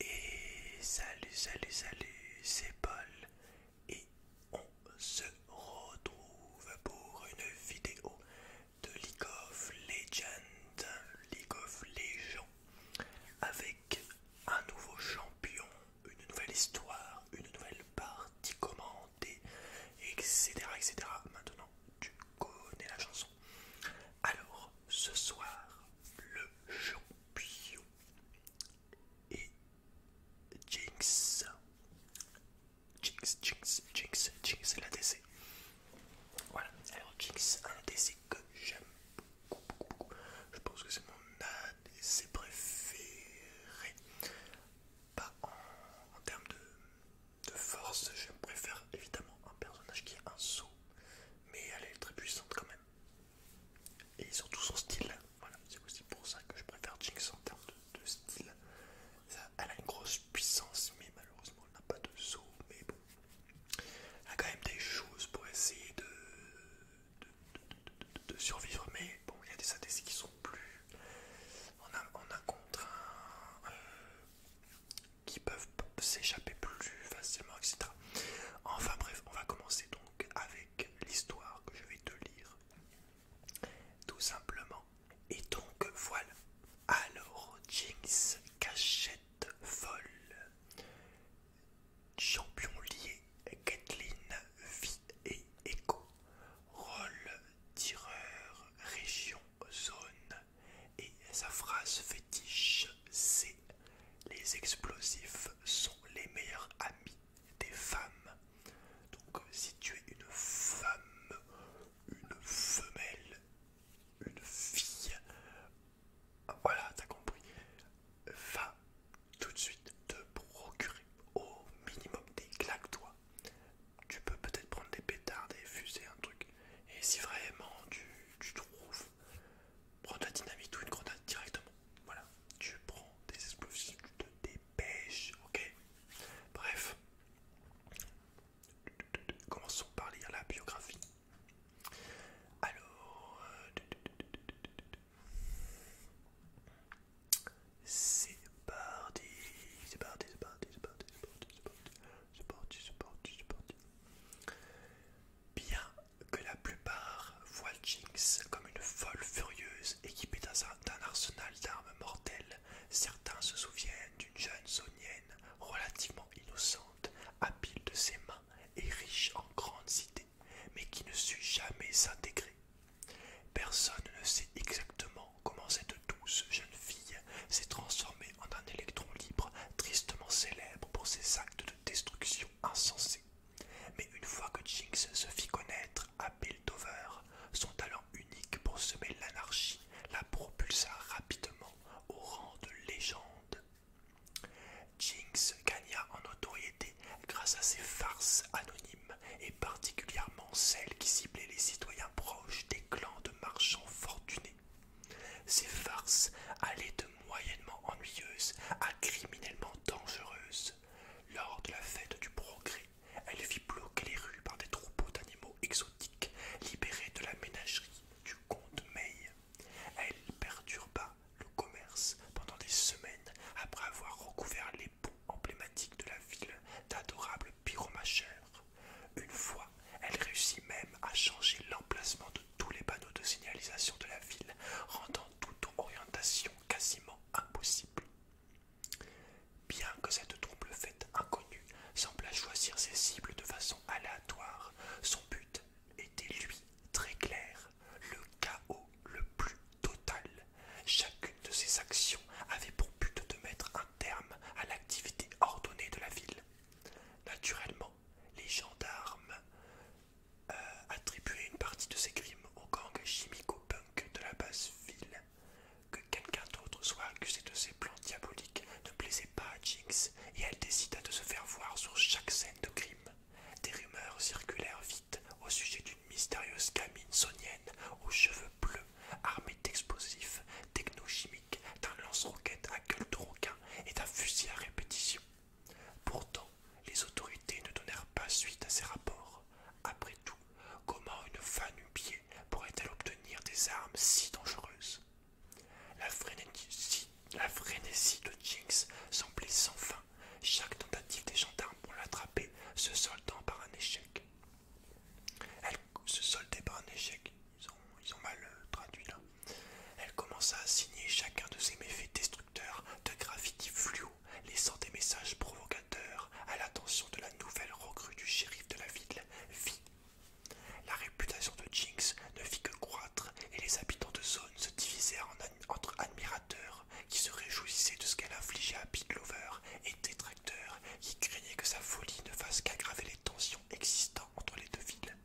Et salut, salut, salut, c'est Paul et on se retrouve pour une vidéo de League of Legends, League of Legends, avec un nouveau champion, une nouvelle histoire, une nouvelle partie commentée, etc. etc. Maintenant, tu connais la chanson. Alors, ce soir, le champion et Jinx. Jinx, Jinx, Jinx, Jinx, l'ADC. Voilà, alors Jinx, un ADC que j'aime beaucoup, beaucoup, beaucoup. Je pense que c'est mon ADC préféré. Pas en, termes de, de force, je préfère évidemment un personnage qui a un saut, mais elle est très puissante quand même. Et surtout son style, voilà, c'est aussi pour ça que je préfère Jinx en termes de, style. elle a une grosse puissance, mais malheureusement elle n'a pas de saut. Mais bon, elle a quand même des choses pour essayer de, de, survivre. Mais bon, il y a des ADC qui sont plus. On a, contre un. Euh, qui peuvent s'échapper plus facilement, etc. Enfin bref, on va commencer donc avec l'histoire que je vais te lire. Tout simplement. Et donc voilà. Alors, Jinx Cachette Folle. Champion lié, Gatlin, Vie et écho, Rôle, tireur, région, zone. Et sa phrase fétiche, c'est les explosifs sont les meilleurs amis des femmes. Donc euh, si tu es une femme, une femelle, une fille, voilà, t'as compris, va tout de suite te procurer au minimum des claques-toi. Tu peux peut-être prendre des pétards, des fusées, un truc. Et si vraiment tu trouves Prends de la dynamite ou une grenade directement. Voilà. Tu prends des explosifs, tu te dépêches, ok Bref. Commençons par lire la biographie. Alors... Euh, c'est parti, c'est parti, c'est parti, c'est parti, c'est parti, c'est parti, Bien que la plupart voient Jinx comme une folle furieuse équipée d'un arsenal d'armes mortelles, certains se souviennent d'une jeune zonienne relativement innocente, habile de ses mains et riche en grandes idées, mais qui ne sut jamais s'intégrer. Personne ne sait exactement comment cette douce jeune fille s'est transformée en un électron libre tristement célèbre pour ses actes de destruction insensés. Mais une fois que Jinx se fit connaître à Piltover, son talent unique pour semer l'anarchie la propulsa rapidement au rang de légende. Jinx gagna en notoriété grâce à ses farces anonymes et particulièrement celles qui ciblaient les citoyens proches des clans de marchands fortunés. Ces farces allaient de moyennement ennuyeuse à criminellement dangereuse. Lors de la fête du progrès, elle fit bloquer les rues par des troupeaux d'animaux exotiques libérés de la ménagerie du comte May. Elle perturba le commerce pendant des semaines après avoir recouvert les ponts emblématiques de la ville d'adorables pyromachères. Une fois, elle réussit même à changer l'emplacement tous les panneaux de signalisation de la ville, rendant toute orientation quasiment impossible. Bien que cette trouble fête inconnue sembla choisir ses cibles de façon aléatoire, son but était lui très clair, le chaos le plus total. Chacune de ses actions avait pour but de mettre un terme à l'activité ordonnée de la ville. Naturellement, les gendarmes euh, attribuer une partie de ses crimes au gang chimico-punk de la basse ville. Que quelqu'un d'autre soit accusé de ses plans diaboliques ne plaisait pas à Jinx et elle décida de se faire voir sur chaque scène de crime. Des rumeurs circulèrent vite au sujet d'une mystérieuse gamine sonienne aux cheveux bleus, armée d'explosifs techno-chimiques, d'un lance roquettes à gueule de requin et d'un fusil à répétition. Pourtant, les autorités ne donnèrent pas suite à ces rapports. Après tout, comment une pied pourrait-elle obtenir des armes si dangereuses la frénésie, de Jinx semblait sans fin, chaque tentative des gendarmes pour l'attraper se soldant par un échec. Elle se soldait par un échec, euh, Elle commença à signer chacun de ses méfaits de graffiti fluo laissant des messages provocateurs à l'attention de la nouvelle recrue du shérif de la ville, V. La réputation de Jinx ne fit que croître et les habitants de zone se divisèrent entre admirateurs qui se réjouissaient de ce qu'elle infligeait à Big Lover et détracteurs qui craignaient que sa folie ne fasse qu'aggraver les tensions existantes entre les deux villes.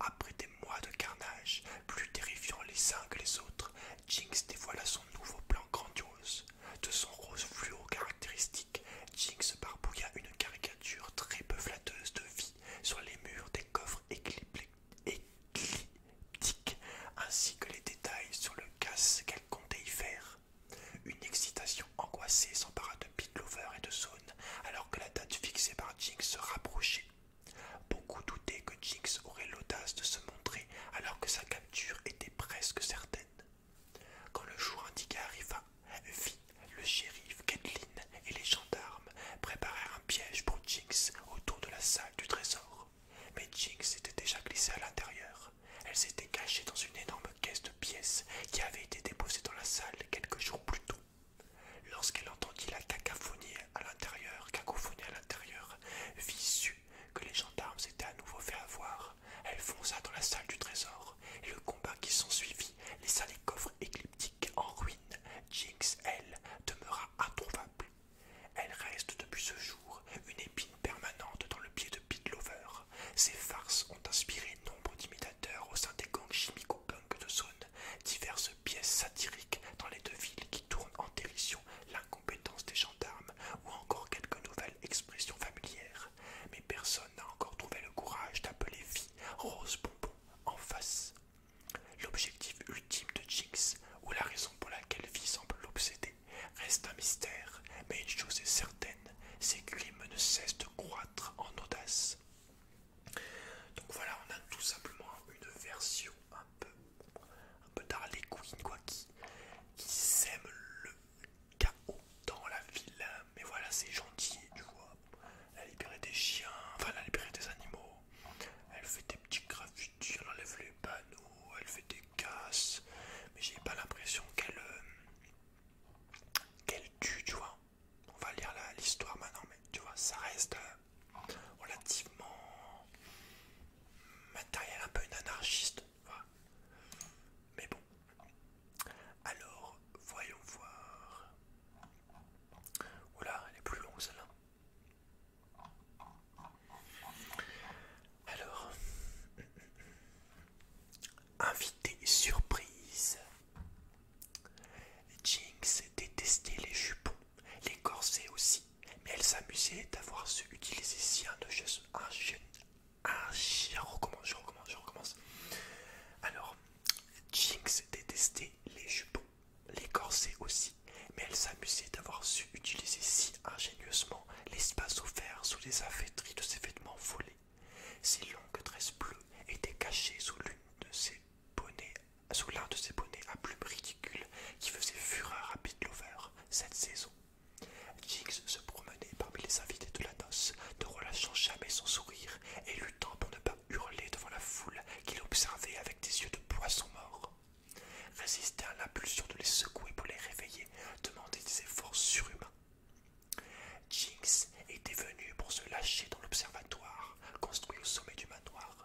Après des mois de carnage, plus terrifiants les uns que les autres, Jinx dévoila son nouveau plan grandiose. De son rose fluo caractéristique, Jinx barbouilla une caricature très peu flatteuse de vie sur les murs des coffres écliptiques, ainsi que les détails sur le casse qu'elle comptait y faire. Une excitation angoissée s'empara de Pitlover et de Zone alors que la date fixée par Jinx se rapprochait. Beaucoup doutaient que Jinx aurait l'audace de se montrer alors que sa capture était presque certaine. Quand le jour indiqué arriva, Vi, le shérif, Kathleen et les gendarmes préparèrent un piège pour Jinx autour de la salle du trésor. Mais Jinx était déjà glissée à l'intérieur. Elle s'était cachée dans une énorme caisse de pièces qui avait été déposée dans la salle quelques jours plus tôt. Lorsqu'elle entendit la cacophonie à l'intérieur, cacophonie à l'intérieur, que les gendarmes s'étaient à nouveau fait avoir, elle fonça dans la salle du trésor, et le combat qui s'ensuivit laissa les coffres écliptiques en ruine. Jinx, elle, demeura introuvable. Elle reste depuis ce jour une épine permanente dans le pied de pit Lover. Ses farces ont inspiré nombre d'imitateurs au sein des gangs chimico-punk de zone, diverses pièces satiriques dans les deux villes tourne en dérision l'incompétence des gendarmes ou encore quelques nouvelles expressions familières. Mais personne n'a encore trouvé le courage d'appeler fille Rose Bonbon en face. L'objectif ultime de Jinx, ou la raison pour laquelle Vie semble l'obséder, reste un mystère, mais une chose est certaine, c'est que ne cessent de croître en audace. Donc voilà, on a tout simplement une version un peu, un peu Quinn, quoi, qui, qui sème le chaos dans la ville. Mais voilà, c'est gentil, tu vois. Elle libéré des chiens, enfin, elle a des animaux. Elle fait des petits graffitis, elle enlève les panneaux, elle fait des casses. Mais j'ai pas l'impression qu'elle euh, qu'elle tue, tu vois. On va lire l'histoire maintenant, mais tu vois, ça reste. Euh, euh, relativement matériel, un peu une anarchiste. Mais bon. Alors, voyons voir. Oula, elle est plus longue celle-là. Alors, invité surprise. Jinx détestait les jupons les corsets aussi, mais elle s'amusait d'avoir su utiliser si ingénieusement. de un Un chien, recommence, je recommence, je recommence. Alors, Jinx détestait les jupons, les corsets aussi, mais elle s'amusait d'avoir su utiliser si ingénieusement l'espace offert sous les affaîtries de ses vêtements volés. Ses longues tresses bleues étaient cachées sous l'une de ses sous l'un de ses bonnets à plumes ridicules qui faisait fureur à Lover cette saison. Jinx se promenait parmi les invités de la noce, ne relâchant jamais son sourire et luttant pour ne pas hurler devant la foule qui l'observait avec des yeux de poisson mort. Résister à l'impulsion de les secouer pour les réveiller demandait des efforts surhumains. Jinx était venu pour se lâcher dans l'observatoire construit au sommet du manoir,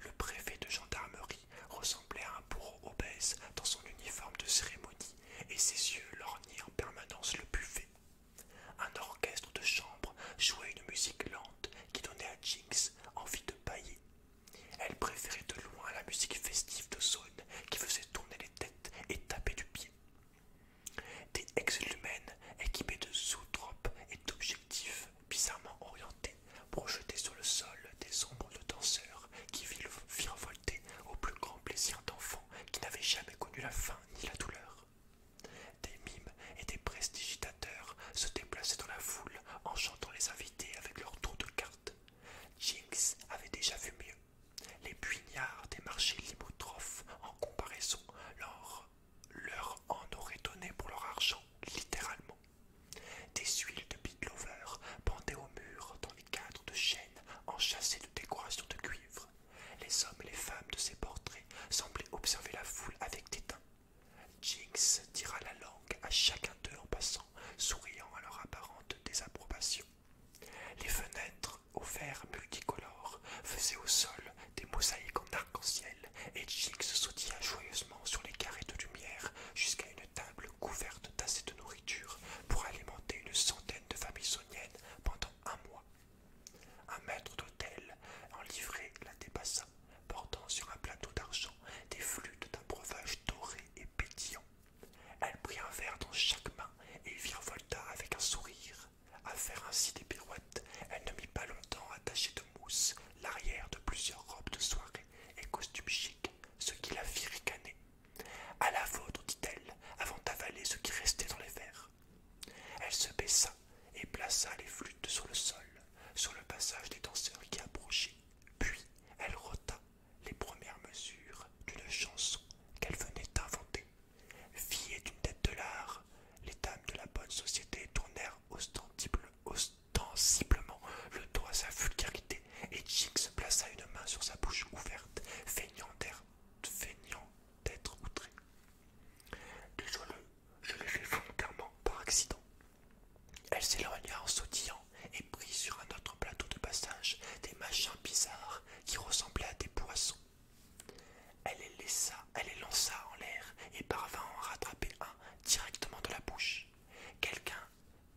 Le préfet de gendarmerie ressemblait à un bourreau obèse dans son uniforme de cérémonie et ses yeux lorgnaient en permanence le buffet. Un orchestre de chambre jouait une musique lente qui donnait à Jinx envie de pailler. Elle préférait de loin la musique festive de Zone qui faisait tourner les têtes et taper du pied. Des ex-lumènes équipés de sous-tropes et d'objectifs bizarrement orienté, projeté sur le sol des ombres de danseurs qui firent volter au plus grand plaisir d'enfants qui n'avaient jamais connu la faim ni la douleur. Des mimes et des prestigitateurs se déplaçaient dans la foule en chantant les invités avec leurs tours de cartes. Jinx avait déjà vu mieux. Les puignards des marchés limotrophes en comparaison, l'or leur en aurait donné pour leur argent, littéralement. Des huiles de big lover pendaient au mur dans les cadres de chêne enchâssés de décorations de cuivre. Les hommes et les femmes de ces portraits semblaient observer la foule avec dédain. Jinx tira la langue à chacun d'eux en passant, souriant à leur apparente désapprobation. Les fenêtres, aux verres multicolores, faisaient au sol des mosaïques en arc-en-ciel, et Jiggs sautilla joyeusement sur les carrés de lumière jusqu'à une table couverte d'assez de nourriture pour alimenter une centaine de familles soniennes pendant un mois. Un maître d'hôtel en livrée la dépassa, portant sur un plateau d'argent des flûtes d'un breuvage doré et pétillant. Elle prit un verre dans chaque main et virevolta avec un sourire. À faire ainsi des pirouettes, elle ne mit pas longtemps à tâcher de mousse l'arrière de plusieurs robes de soirée et costumes chics, ce qui la fit ricaner. À la vôtre, dit-elle, avant d'avaler ce qui restait dans les verres. Elle se baissa et plaça les flûtes sur le sol, sur le passage des danseurs qui approchaient. Puis elle rota les premières mesures d'une chanson qu'elle venait d'inventer. Fille d'une tête de l'art, les dames de la bonne société tournèrent tensiblement le doigt à sa vulgarité, et Jinx plaça une main sur sa bouche ouverte, feignant d'être outré. Désolé, je l'ai fait volontairement par accident. Elle s'éloigna en sautillant et prit sur un autre plateau de passage des machins bizarres qui ressemblaient à des poissons. Elle les laissa elle les lança en l'air et parvint à en rattraper un directement de la bouche. Quelqu'un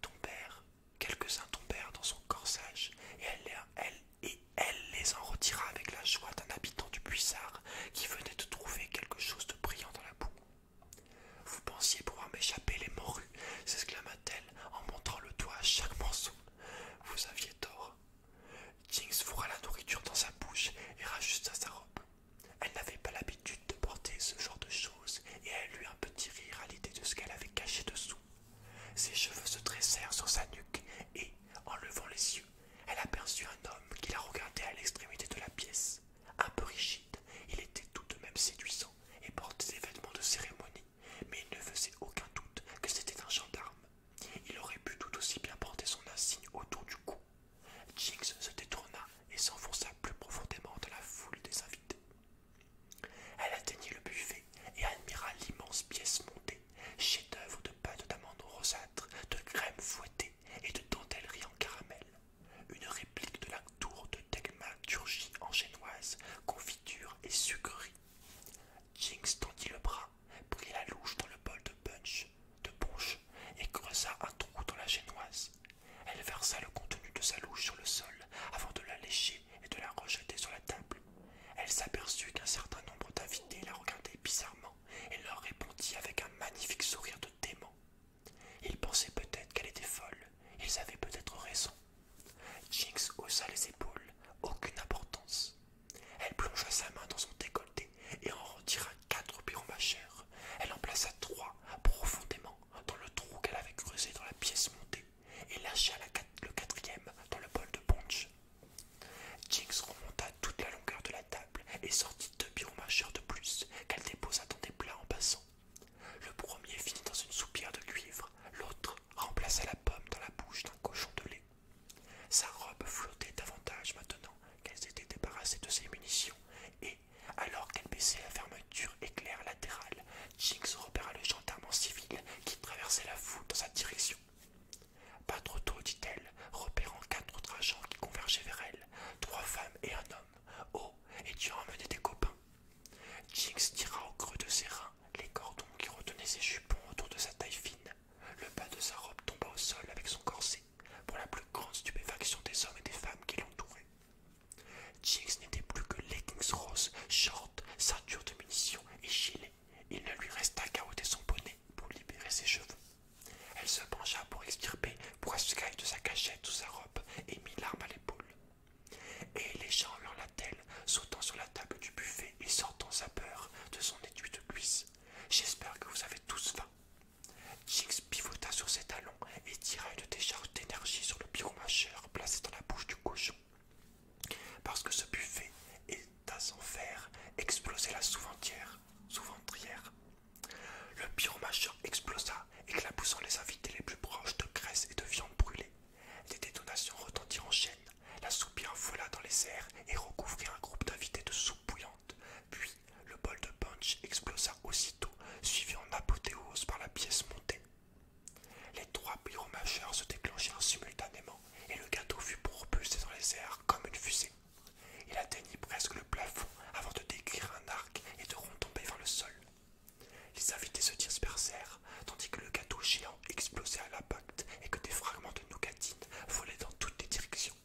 tombèrent, quelques-uns tombèrent dans son corsage et elle, et elle les en retira avec la joie d'un habitant du puissard qui venait de trouver quelque chose de brillant dans la boue. Vous pensiez pouvoir m'échapper les morues, s'exclama-t-elle en montrant le doigt à chaque morceau. Vous aviez tort. Jinx fourra la nourriture dans sa bouche et rajusta sa robe. Elle n'avait pas l'habitude de porter ce genre de choses et elle eut un petit rire à l'idée de ce qu'elle avait caché dessous. Ses cheveux se dressèrent sur sa nuque et, en levant les yeux, elle aperçut un homme qui la regardait à l'extrémité de la pièce. Un peu rigide, il était tout de même séduisant et portait des vêtements de cérémonie, mais il ne faisait aucun doute que c'était un gendarme. Il aurait pu tout aussi bien porter son insigne autour du cou Jinx se détourna et s'enfonça plus profondément dans la foule des invités. Elle atteignit le buffet et admira l'immense pièce montée, chef-d'œuvre de pâte d'amande rosâtre, de crème fouettée et de dentellerie en caramel, une réplique de la tour de Thaumaturgie en génoise, confiture et sucrerie. Jinx tendit le bras, prit la louche dans le bol de punch, de punch, et creusa un trou dans la génoise. Elle versa le contenu de sa louche sur le sol avant de la lécher et de la rejeter sur la table. Elle s'aperçut qu'un certain nombre d'invités la regardaient bizarrement et leur répondit avec un magnifique sourire de démon. Ils pensaient peut-être qu'elle était folle, ils avaient peut-être raison. Jinx haussa les épaules, aucune importance. Elle plongea sa main dans son décolleté et en retira quatre ma machères. Elle en plaça trois profondément dans le trou qu'elle avait creusé dans la pièce montée et lâcha le quatrième dans le bol de punch. Jinx remonta toute la longueur de la table et sortit deux biomacheurs de plus qu'elle déposa dans des plats en passant. Le premier finit dans une soupière de cuivre, l'autre remplaça la pomme dans la bouche d'un cochon de lait. Sa robe flottait davantage maintenant qu'elle s'était débarrassée de ses munitions et alors qu'elle baissait la fermeture éclair latérale, Jinx repéra le gendarme en civil qui traversait la foule dans sa direction. Pas trop tôt, dit-elle, repérant quatre autres agents qui convergeaient vers elle, trois femmes et un homme. Oh, et tu as emmené des copains. Jinx tira au creux de ses reins les cordons qui retenaient ses jupons autour de sa taille fine. Le bas de sa robe tomba au sol avec son corset pour la plus grande stupéfaction des hommes et des femmes qui l'entouraient. Jiggs n'était plus que leggings roses, shorts, ceinture de munitions et gilet. Il ne lui resta qu'à ôter son bonnet pour libérer ses cheveux. Elle se pencha pour extirper aspirer de sa cachette ou sa robe et mit l'arme à l'épaule. Et les gens lui sautant sur la table du buffet et sortant sa peur de son étui de cuisse. J'espère que vous avez tous faim. Jiggs pivota sur ses talons et tira une décharge d'énergie sur le majeur placé dans la bouche du cochon. Parce que ce buffet est à fer exploser la sous-ventrière. Le majeur explosa, éclaboussant les invités les plus proches de graisse et de viande brûlée. Les détonations retentirent en chaîne, la soupe envola dans les airs et recouvrit un groupe d'invités de soupe bouillante, puis le bol de punch explosa aussitôt, suivi en apothéose par la pièce montée. Les trois bureaux majeurs se déclenchèrent simultanément et le gâteau fut propulsé dans les airs comme une fusée. Il atteignit presque le plafond avant de décrire un arc et de retomber vers le sol. Les invités se dispersèrent, tandis que le gâteau géant explosait à l'impact et que des fragments de nougatine volaient dans toutes les directions.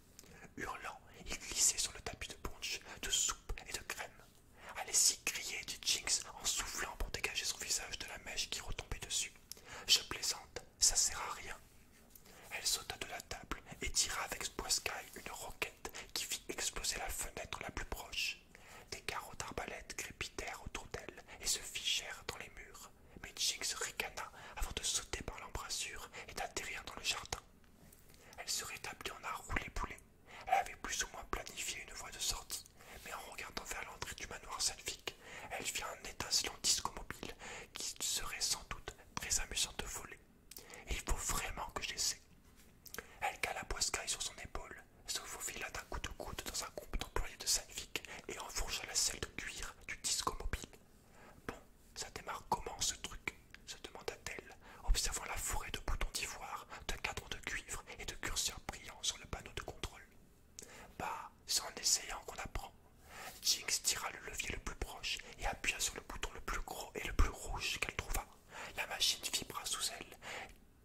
Hurlant, il glissait sur le tapis de punch, de soupe et de crème. Allez-y, criait, dit Jinx en soufflant pour dégager son visage de la mèche qui retombait dessus. Je plaisante, ça sert à rien. Elle sauta de la table et tira avec Boiscaille une roquette qui fit exploser la fenêtre la plus proche. Des carreaux d'arbalète crépitèrent autour d'elle et se figèrent dans les murs, mais Jinx ricana avant de sauter par l'embrasure et d'atterrir dans le jardin. Elle se rétablit en un roulé poulet. Elle avait plus ou moins planifié une voie de sortie, mais en regardant vers l'entrée du manoir salvique, elle vit un étincelant disco mobile qui serait sans doute très amusant de voler. il faut vraiment que j'essaie. Elle cala Boiscaille sur son épaule, se faufila d'un coup de coude dans un groupe d'employés de Salvic et enfourcha la selle de cuir du disco mobile. Bon, ça démarre comment ce truc se demanda-t-elle, observant la forêt de boutons d'ivoire, de cadres de cuivre et de curseurs brillants sur le panneau de contrôle. Bah, c'est en essayant qu'on apprend. Jinx tira le levier le plus proche et appuya sur le bouton le plus gros et le plus rouge qu'elle trouva. La machine vibra sous elle,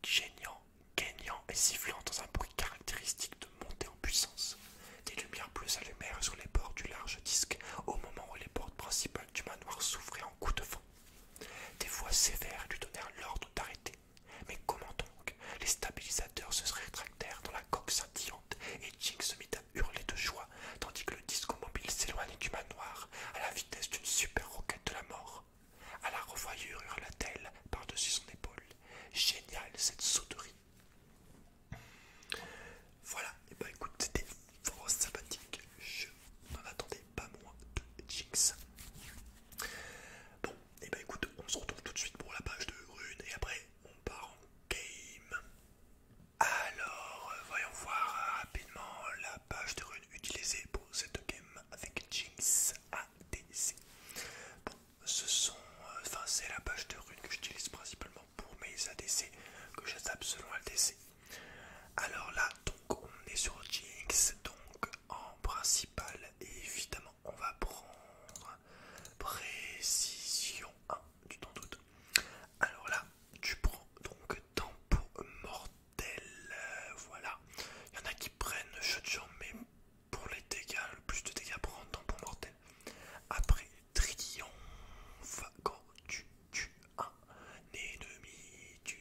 geignant, gaignant et sifflant dans un bruit caractéristique de montée en puissance. Des lumières bleues allumèrent sur les bords du large disque au moment où les portes principales du manoir s'ouvraient en coup de vent. Des voix sévères lui donnèrent l'ordre d'arrêter. Mais comment donc Les stabilisateurs se rétractèrent dans la coque scintillante et Jing se mit à hurler de joie tandis que le disco mobile s'éloignait du manoir à la vitesse d'une super roquette de la mort. À la revoyure hurla-t-elle par-dessus son épaule. Génial cette sauterie. Voilà, et eh bah ben, écoute, c'était force sympathique, je n'en attendais pas moins de Jinx. Bon, et eh bah ben, écoute, on se retrouve tout de suite pour la page de runes et après on part en game. Alors, euh, voyons voir rapidement la page de runes utilisée pour cette game avec Jinx ADC. Bon, ce sont, euh, enfin, c'est la page de runes que j'utilise principalement pour mes ADC, que je selon ADC. Alors là, donc on est sur Jinx, donc en principal, évidemment, on va prendre précision 1 du temps doutes. Alors là, tu prends donc tempo mortel, euh, voilà. Il y en a qui prennent jeu de mais pour les dégâts, le plus de dégâts prend tempo mortel. Après, triomphe, quand tu tues un ennemi, tu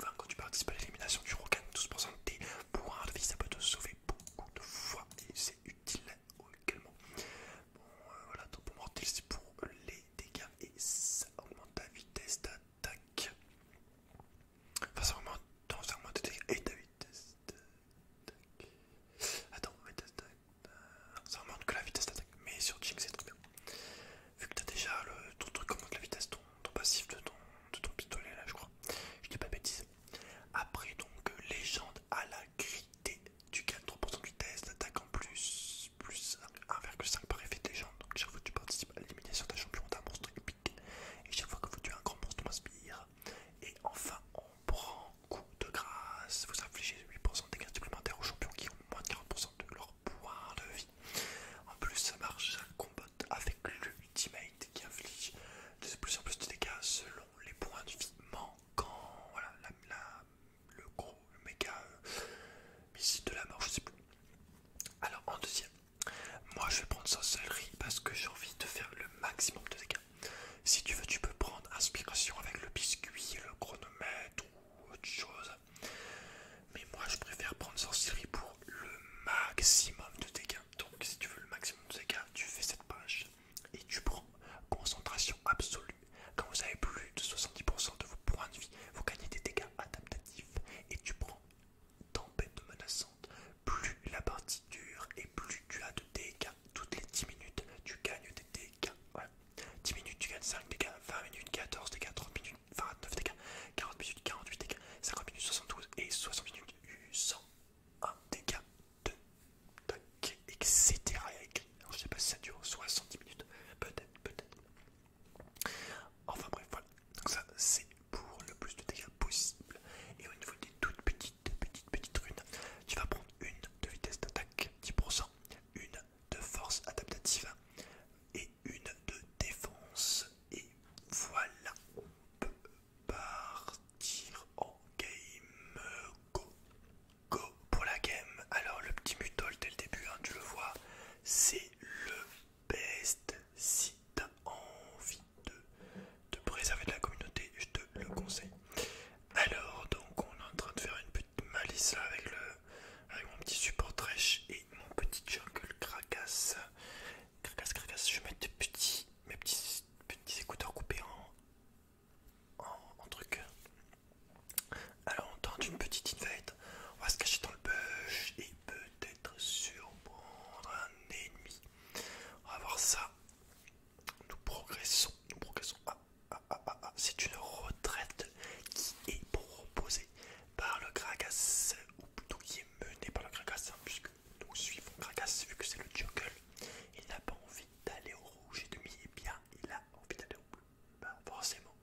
enfin quand tu participes à l'élimination, tu regagnes 12% de tes points de vie, ça peut te sauver beaucoup de fois et c'est utile également. Bon, euh, voilà, ton bon mortel, c'est pour les dégâts et ça augmente ta vitesse d'attaque. Enfin, ça augmente, non, ça augmente ta vitesse et ta vitesse d'attaque. Attends, vitesse d'attaque. Euh, ça augmente que la vitesse d'attaque, mais sur Jinx c'est trop bien vu que t'as déjà le, ton truc comme la vitesse, ton, passif de ton, pistolet là je crois, je dis pas bêtise. Après donc euh, légende à la grité, tu gagnes 3% de vitesse, d'attaque en plus, plus 1,5 par effet de légende, donc chaque fois que tu participes à l'élimination d'un champion d'un monstre épique, et chaque fois que vous tuez un grand monstre on inspires et enfin on prend coup de grâce, vous infligez 8% de dégâts supplémentaires aux champions qui ont moins de 40% de leur points de vie. En plus, ça marche, ça combo avec Ultimate qui inflige de plus en plus de dégâts selon les points de vie manquants. Voilà, le gros, le méga euh, missile de la mort, je sais plus. Alors, en deuxième, moi je vais prendre salerie parce que j'ai envie de faire le maximum de dégâts. Si tu veux, tu peux prendre inspiration avec le biscuit, le chronomètre ou autre chose. Mais moi je préfère prendre sorcellerie pour le maximum de dégâts. Donc si tu veux le maximum de dégâts, tu fais cette page et tu prends concentration absolue. Quand vous avez plus de 70% de vos points de vie, vous gagnez des dégâts adaptatifs et tu prends tempête menaçante. Plus la partie dure et plus tu as de dégâts. Toutes les 10 minutes, tu gagnes des dégâts. Voilà. 10 minutes, tu gagnes 5 dégâts, 20 minutes, 14 dégâts, 30 minutes. 49 dégâts, 40 minutes, 48 dégâts, 50 minutes, 72 et 60 minutes, 101 dégâts de tac, etc. Et je sais pas si ça dure 70 minutes, peut-être, peut-être. Enfin bref, voilà. Donc ça c'est pour le plus de dégâts possible. Et au niveau des toutes petites, petites, petites runes, tu vas prendre une de vitesse d'attaque 10%, une de force adaptative et une de défense. Et voilà, on peut partir en game go. Go pour la game. Alors le petit mutol dès le début, hein, tu le vois, c'est le best. Si t'as envie de, préserver de la communauté, je te le conseille. Alors donc on est en train de faire une petite malice avec, le, avec mon petit support trash mon petit jungle cracasse. Cracasse, cracasse, je vais mettre des petits, mes petits, écouteurs coupés en, en, truc. Alors on tente une petite invite, on va se cacher dans le bush et peut-être surprendre un ennemi. On va voir ça. Nous progressons, nous progressons. Ah, ah, ah, c'est une retraite qui est proposée par le Gragas, ou plutôt qui est mené par le hein, puisque nous suivons vu que c'est le jungle. Il n'a pas envie d'aller au rouge et demi, et eh bien il a envie d'aller au bleu. Bah, forcément,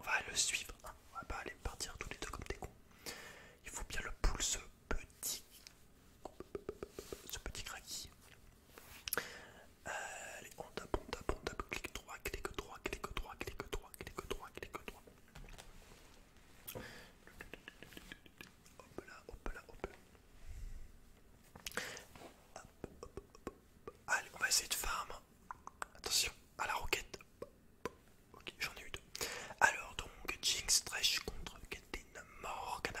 on va le suivre, hein. on va pas aller partir tous les deux comme des cons. Il faut bien le pull ce petit, ce petit euh, allez, on tape, on tape, on clic droit, clique droit, clique droit, clique droit, clique droit, Hop là, hop là, hop là. Allez, on va essayer de farm. Attention à la roquette. Ok, j'en ai eu deux. Alors donc, Jinx trash contre Caitlyn Morgana.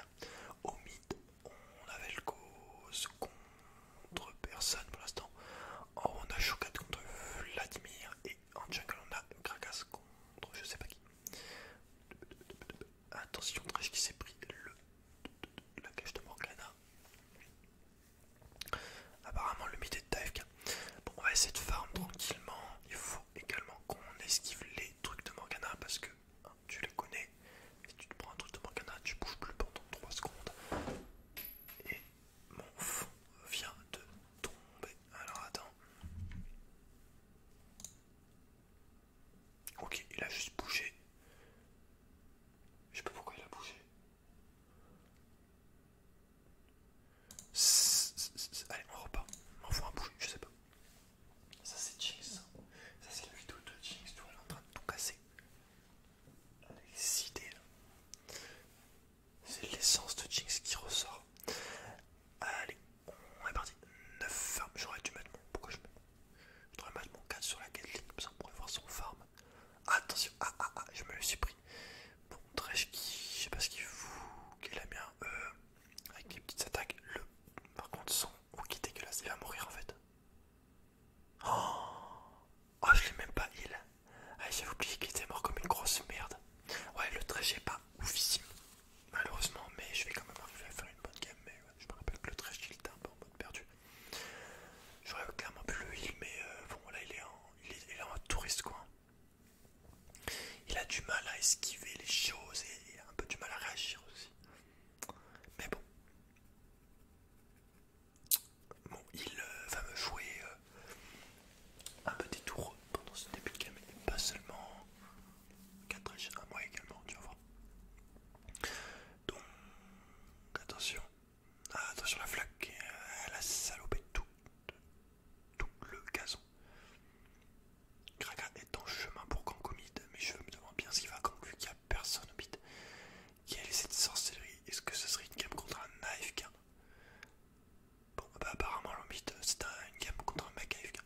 Au mid, on avait le cause contre personne pour l'instant. En oh, on a chocade contre Vladimir. Et en jungle, on a Gragas contre je sais pas qui. Attention, Trish qui s'est pris le, la cage de Morgana. Apparemment, le mid est FK. Bon, on va essayer de farm tranquillement. Il faut également qu'on esquive les trucs de Morgana parce que hein, tu les connais. Si tu te prends un truc de Morgana, tu bouges plus pendant 3 secondes. Et mon fond vient de tomber. Alors attends. Ok, il a juste bougé. Je sais pas pourquoi il a bougé. Allez, on repart. On va un bouger, je sais pas. Ça c'est Jinx. Ça c'est la vidéo de Jinx, tu est en train de tout casser. Elle est là. C'est l'essence de Jinx qui ressort. Allez, on est parti. 9 farms. J'aurais dû mettre mon. Pourquoi je mets mon 4 sur la Gatling comme ça on pourrait voir son farm. Attention, ah ah ah, je me le suis pris. Bon, Dresh qui. Je sais pas ce qu'il fout. qui est la mienne, euh, avec les petites attaques. Le. Par contre, son. Oh, qui est dégueulasse. Il va mourir en fait. Oh Oh, je l'ai même pas heal. Ah, j'avais oublié qu'il était mort comme une grosse merde. Ouais, le est pas oufissime, malheureusement, mais je vais quand même arriver à faire une bonne game. Mais je me rappelle que le trash il était un peu en mode perdu. J'aurais clairement pu le heal, mais euh, bon, là il est, en, il, est, il est touriste quoi. Il a du mal à esquiver les choses et un peu du mal à réagir aussi. Mais bon. Bon, il euh, va me jouer euh, un petit tour pendant ce début de game, et pas seulement 4 à moi également, tu vas voir. Donc, attention, ah, attention la flaque, euh, elle a salopé tout, tout le gazon. Kraka est en chemin pour Kankomid, mais je me demande bien ce va quand vu qu'il n'y a personne au qui a laissé cette sorcellerie Est-ce que ce serait une game contre un AFK Bon, bah apparemment, l'ambit c'est un, une contre un mec AFK.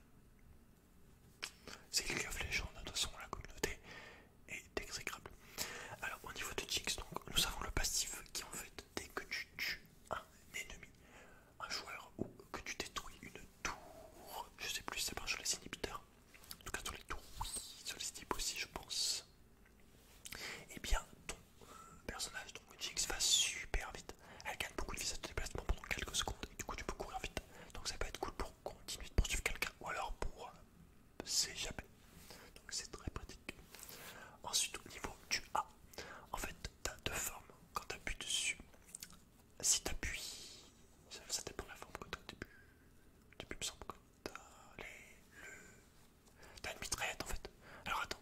C'est League of Legends, de toute façon, la communauté est exécrable. Alors, au niveau de Jinx, donc, nous avons le passif qui, en fait, dès que tu tues un ennemi, un joueur, ou que tu détruis une tour, je sais plus, c'est pas sur les inhibiteurs, en tout cas sur les tours, sur les types aussi, je pense, et eh bien, personnage, donc Jinx va super vite. Elle gagne beaucoup de vitesse de déplacement pendant quelques secondes, et du coup tu peux courir vite. Donc ça peut être cool pour continuer de poursuivre quelqu'un ou alors pour euh, s'échapper. Donc c'est très pratique. Ensuite au niveau du A, en fait t'as deux formes quand t'appuies dessus. Si t'appuies, ça dépend de la forme que t'as au début. Depuis me semble que t'as les, le T'as une en fait. Alors attends,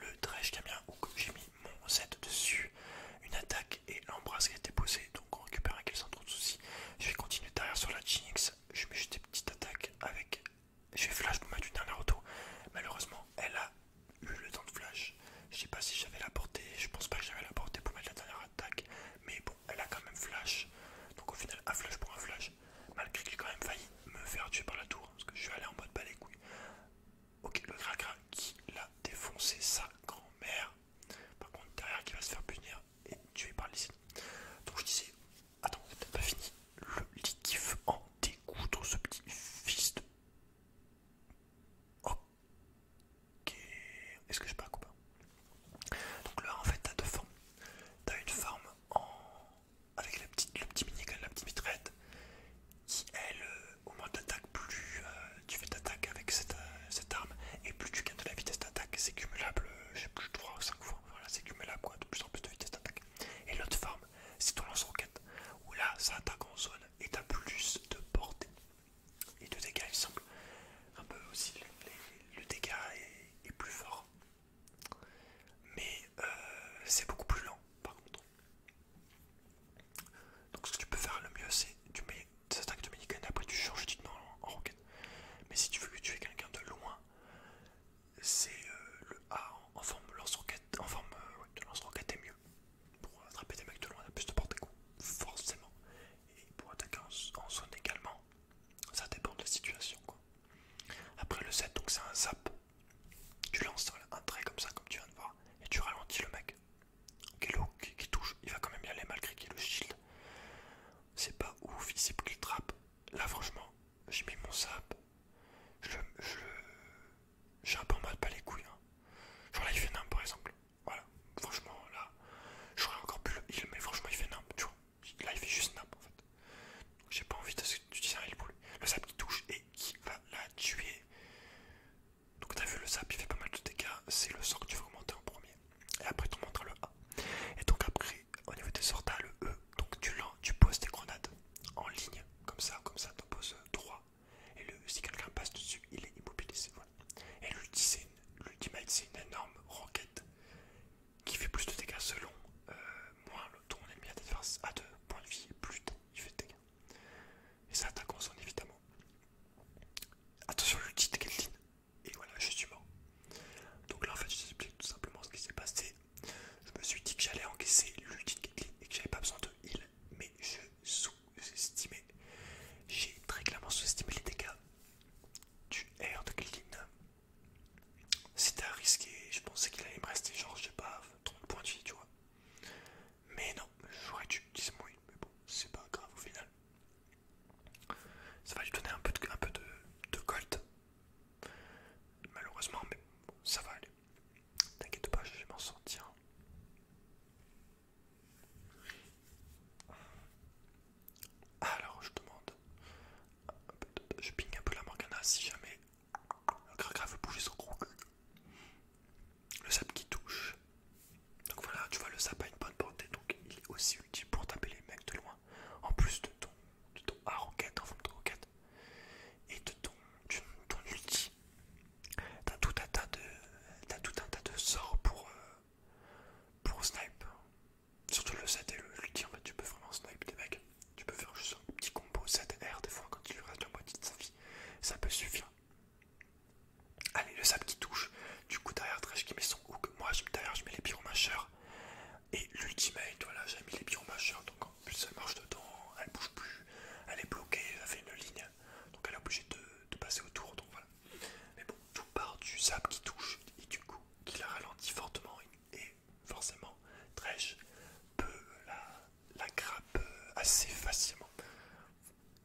le dredge camion où j'ai mis mon set dessus, une attaque et l'embrasse qui a été posée, donc on récupère un kill sans trop de soucis. Je vais continuer derrière sur la Jinx, je mets juste des petites attaques avec. Je vais flash pour mettre une dernière auto. Malheureusement, elle a eu le temps de flash. Je sais pas si j'avais la portée, je pense pas que j'avais la portée pour mettre la dernière attaque, mais bon, elle a quand même flash. Donc au final, un flash pour un flash, malgré qu'il j'ai quand même failli me faire tuer par la tour, hein, parce que je suis allé en mode balai couille. Ok, le cracra qui l'a défoncé, sa grand-mère. Par contre, derrière qui va se faire punir et tuer par les Donc je disais, attends, t'as pas fini. Le liquif en dégoûtant ce petit fils de. Ok. Est-ce que je pas ou Donc là, en fait, t'as deux formes. T'as une forme en avec la petite, le petit la petite mitraide qui elle, euh, au moins d'attaque, plus euh, tu fais d'attaque avec euh, cette, arme, et plus tu gagnes de la vitesse d'attaque, c'est cumulable, je sais plus, 3 ou 5 fois, voilà, c'est cumulable quoi, de plus en plus de vitesse d'attaque. Et l'autre forme, c'est ton lance-roquette, où là, ça attaque en zone, et t'as plus de portée, et de dégâts, il semble, un peu aussi, le, dégât est plus fort mais euh, c'est beaucoup plus lent par contre. Donc ce que tu peux faire le mieux c'est tu mets attaques de et après tu changes d'identité en, en roquette. Mais si tu veux que tu aies quelqu'un de loin, c'est euh, le A en, forme lance-roquette, en forme euh, de lance-roquette est mieux. Pour attraper des mecs de loin, t'as plus de portée forcément. Et pour attaquer en, son également, ça dépend de la situation quoi. Après le Z, donc c'est un zap tu lances un trait comme ça, comme tu viens de voir, et tu ralentis le mec. qui, touche, il va quand même y aller malgré qu'il le shield. C'est pas ouf, il sait qu'il trappe. Là, franchement, j'ai mis mon sap. Je Je j'ai un mal pas les couilles. Hein. Genre là, il fait par exemple. Voilà, franchement, là, j'aurais encore plus le mais franchement, il fait n'importe tu vois. Là, il fait juste n'importe en fait. J'ai pas envie de tu un il boule Le sap qui touche et qui va la tuer. Donc t'as vu le sap il fait pas mal de dégâts, c'est le sort que tu veux augmenter en premier. Et après tu montres le A. Et donc après au niveau des sortes le E. Donc tu, tu poses tes grenades en ligne, comme ça, comme ça, tu poses 3. Et le, si quelqu'un passe dessus, il est immobilisé. Voilà. Et l'ultimate c'est une, énorme roquette qui fait plus de dégâts selon euh, moins le tour ennemi adverse à deux points de vie, plus il fait de dégâts. Et ça attaque en évidemment. Attention, l'ulti de Caitlyn. Et voilà, je suis mort. Donc là, en fait, je t'explique tout simplement ce qui s'est passé. Je me suis dit que j'allais encaisser l'ulti de Caitlyn et que j'avais pas besoin de heal, mais je sous-estimais. J'ai très clairement sous-estimé les dégâts du R de Keltin. C'était risqué, je pensais qu'il allait me rester genre, je sais pas, 30 points de vie, tu vois. Mais non, j'aurais dû dis mais bon, c'est pas grave au final. Ça va lui donner un peu de, un peu de, de Malheureusement, mais ça va aller. T'inquiète pas, je vais m'en sortir. Alors, je demande. Je ping un peu la Morgana si jamais le grave veut bouger son gros cul. Le sap qui touche. Donc voilà, tu vois, le sap a une bonne portée, donc il est aussi utile pour taper les mecs de loin. En plus de ton, de ton en et de ton, ulti. T'as tout, tout un tas de sorts pour, euh, pour snipe. Surtout le 7 et le ulti, tu peux vraiment snipe des mecs. Tu peux faire juste un petit combo cette r des fois quand il lui reste la moitié de sa vie. Ça peut suffire. Allez, le sable qui touche. Du coup, derrière trèche qui met son hook. Moi, derrière, je mets les pyromacheurs. Et l'ultimate, voilà, j'ai mis les pyromacheurs. Donc en plus, elle marche dedans. Elle bouge plus. Elle est bloquée. Elle fait une ligne. Donc elle est obligée de, passer autour. Donc voilà. Mais bon, tout part du sable qui touche. Et du coup, qui la ralentit fortement. Et forcément, Trèche peut la la grappe euh, assez facilement.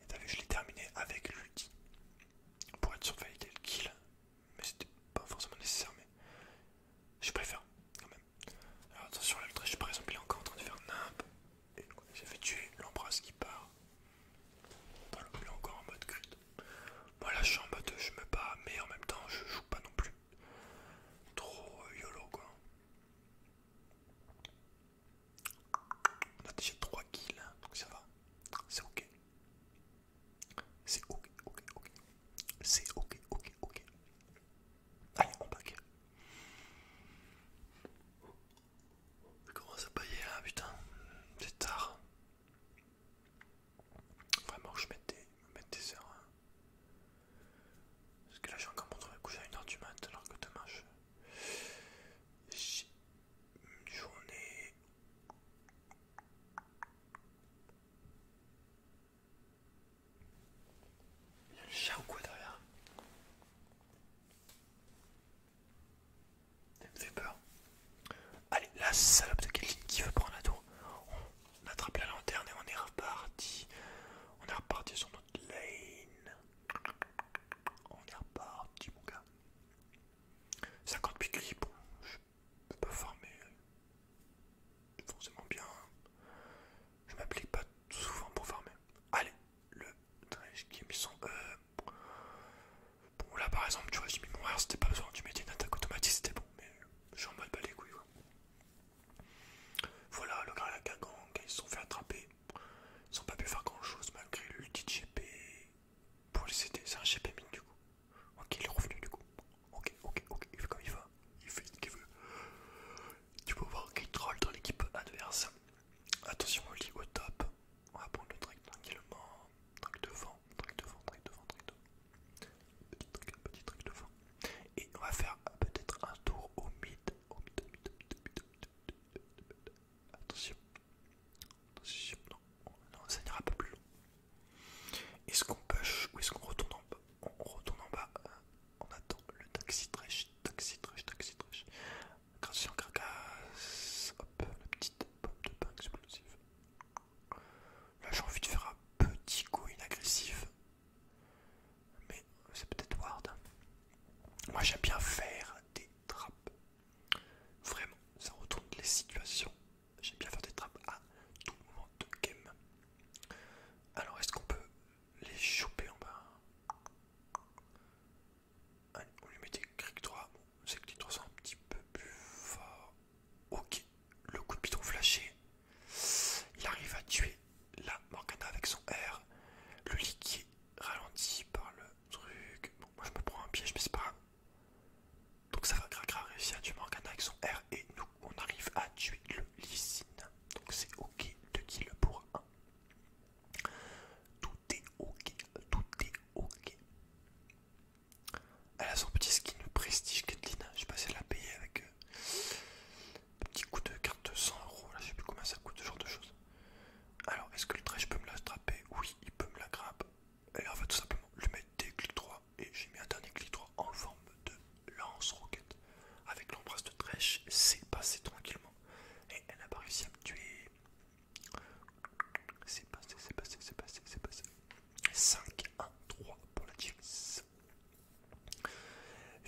Et t'as je l'ai terminé avec l'ulti pour être sûr le kill, mais c'était pas forcément nécessaire, mais je préfère quand même. Alors attention, là, Je suis par exemple, il encore en train de faire nimp, et j'ai fait tuer l'embrasse qui part. Voilà, il est encore en mode crude. Moi là, je suis en mode je me bats, mais en même temps, je joue pas non plus trop euh, yolo quoi. On a déjà 3 kills, hein, donc ça va. C'est ok. C'est ok, ok, ok. C'est ok, ok, ok. Allez, on back. Comment ça à là, putain. C'est tard. Vraiment, je mette des, des heures. Parce que là, je encore montré coucher à une heure du mat, alors que demain, je. J'ai une journée. Il y a un chat ou quoi derrière Ça me fait peur. Allez, la salope de Kelly qui veut prendre la tour. On attrape la lanterne et on est reparti. On est reparti sur notre Lane. On est reparti, mon gars. 50 piquets, bon, je peux pas farmer euh, forcément bien. Je m'applique pas souvent pour farmer. Allez, le Dredge qui est mis E. Bon, là par exemple, tu vois, j'ai mis mon R, c'était pas besoin. Tu mettais une attaque automatique, c'était bon, mais je suis en mode bah, les quoi. Voilà, le gars à la ils se sont fait attraper. Ils n'ont pas pu faire grand chose malgré l'ulti GP pour les CD. C'est un GP mine du coup. Ok, il est revenu du coup. Ok, ok, ok, il fait comme il va. Il fait ce qu'il veut. Tu peux voir qu'il troll dans l'équipe adverse. Attention au lit au top. On va prendre le truc tranquillement. Trick devant, trick devant, trick devant, trick devant. Petit truc, petit trick devant. Et on va faire peut-être un tour au mid Attention. Attention, non. ça n'ira pas plus long. Est-ce qu'on push ou est-ce qu'on retourne en bas On retourne en bas. Euh, on attend le taxi trash. taxi Trash taxi en carcasse. Hop, la petite bombe de pain explosive. Là j'ai envie de faire un petit coup inagressif. Mais c'est peut-être Ward. Moi j'aime bien faire des trappes. Vraiment, ça retourne les situations. J'aime bien faire des trappes à tout moment de game. Alors est-ce qu'on peut les choper en bas Allez, on lui met des cric 3. c'est que les sont un petit peu plus forts. Ok, le coup de piton flashé. Il arrive à tuer la Morgana avec son R. Le est ralenti par le truc. Bon, moi je me prends un piège, mais c'est pas grave. Donc ça va, Gragra réussir à tuer Morgana avec son R et nous on arrive à tuer le Lysine. Donc c'est ok, de kill pour 1. Tout est ok, tout est ok. Elle a son petit skin prestige, Kathleen. Je sais pas si elle l'a payé avec. eux petit coup de carte de 100 euros, là je sais plus combien ça coûte ce genre de choses. Alors est-ce que le trèche peut me la attraper Oui, il peut me la grappe Et on va tout simplement lui mettre des clics droits et j'ai mis un dernier clic droit en forme de lance-roquette. Avec l'embrasse de trèche, c'est passé tranquillement. Et elle n'a pas réussi à me tuer. C'est passé, c'est passé, c'est passé, c'est passé. 5, 1, 3 pour la Jinx.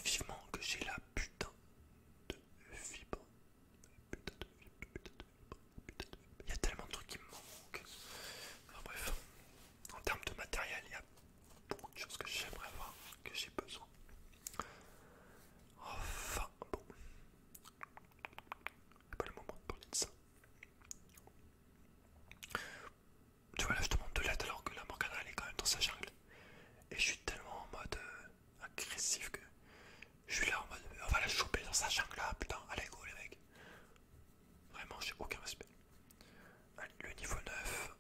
Vivement que j'ai la putain de fibre. Putain de putain de Il y a tellement de trucs qui me manquent. bref, en termes de matériel, il y a beaucoup de choses que j'aimerais avoir, que j'ai besoin. Enfin, bon. C'est pas le moment de parler de ça. Tu vois là je te montre de l'aide alors que la Morgana elle est quand même dans sa jungle. Et je suis tellement en mode euh, agressif que je suis là en mode on va la choper dans sa jungle là, putain, allez go les mecs. Vraiment, j'ai aucun respect. Allez, le niveau 9.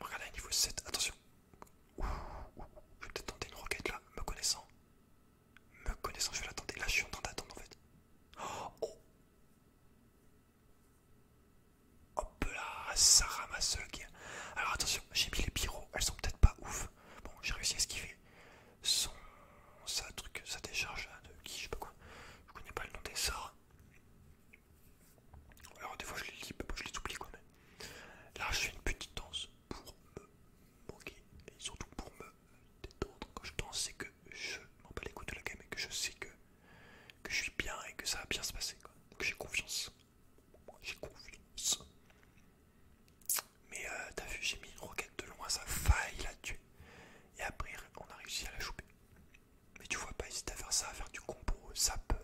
Regardez, le niveau 7, attention. je vais peut-être tenter une roquette là, me connaissant. Me connaissant, je vais la Là, je suis en train d'attendre en fait. Oh Hop là, Sarah ma Alors attention, j'ai mis les pyros, elles sont peut-être pas ouf. Bon, j'ai réussi à esquiver son. ça truc, sa décharge hein, de qui, je sais pas quoi. Je connais pas le nom des sorts. Alors des fois je les lis, mais je les oublie quand même. Là, je fais une petite danse pour me moquer et surtout pour me détendre. Quand je danse, c'est que je m'en bats les coups de la game et que je sais que, que je suis bien et que ça va bien se passer. Quoi. Donc j'ai confiance. J'ai confiance. Mais euh, t'as vu, j'ai mis une roquette de loin, ça faille la tuer. Et après, on a réussi à la choper. Mais tu vois, pas hésiter à faire ça, à faire du combo, ça peut,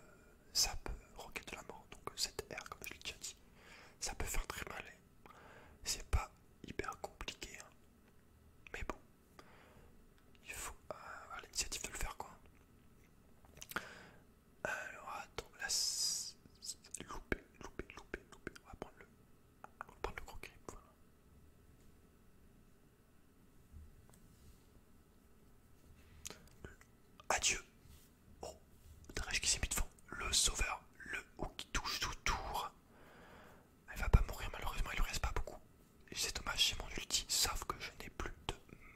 roquette de la mort, donc euh, cette R, comme je l'ai déjà dit, ça peut faire très mal. C'est pas hyper compliqué, hein. mais bon, il faut avoir euh, l'initiative de le faire quoi. Alors attends, là loupé, loupé, loupé, loupé. On va prendre le, prendre le gros grip, voilà. Adieu. Oh, Drèche qui s'est mis devant. Le sauveur, le haut qui touche tout tour. Elle va pas mourir malheureusement, il lui reste pas beaucoup. C'est dommage, j'ai mon ulti, sauf que je n'ai plus de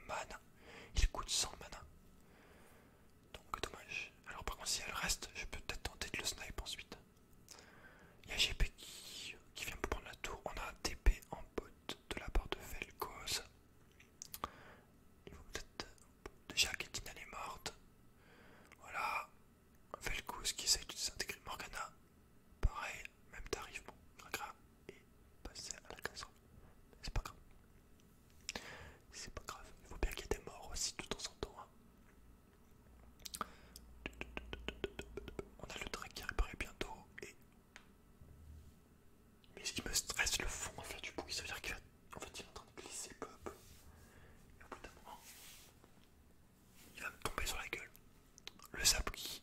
mana. Il coûte 100 mana. Donc dommage. Alors par contre si elle reste, je peux peut-être tenter de le sniper ensuite. Il y a GP qui, vient pour prendre la tour. On a un TP en botte de la part de Vel'Koz. Il faut peut-être... Déjà Ketina est morte. Voilà. Vel'Koz qui essaye de s'intégrer Morgana. Pareil, même tarif, bon, c'est pas grave. C'est pas grave. Il faut bien qu'il y ait des morts aussi tout temps en temps. Hein. On a le train qui réparé bientôt et. Mais il me stresse le fond à faire du bruit, ça veut dire qu'il fait, il est en train de glisser pop Et au bout d'un moment, il va me tomber sur la gueule. Le sable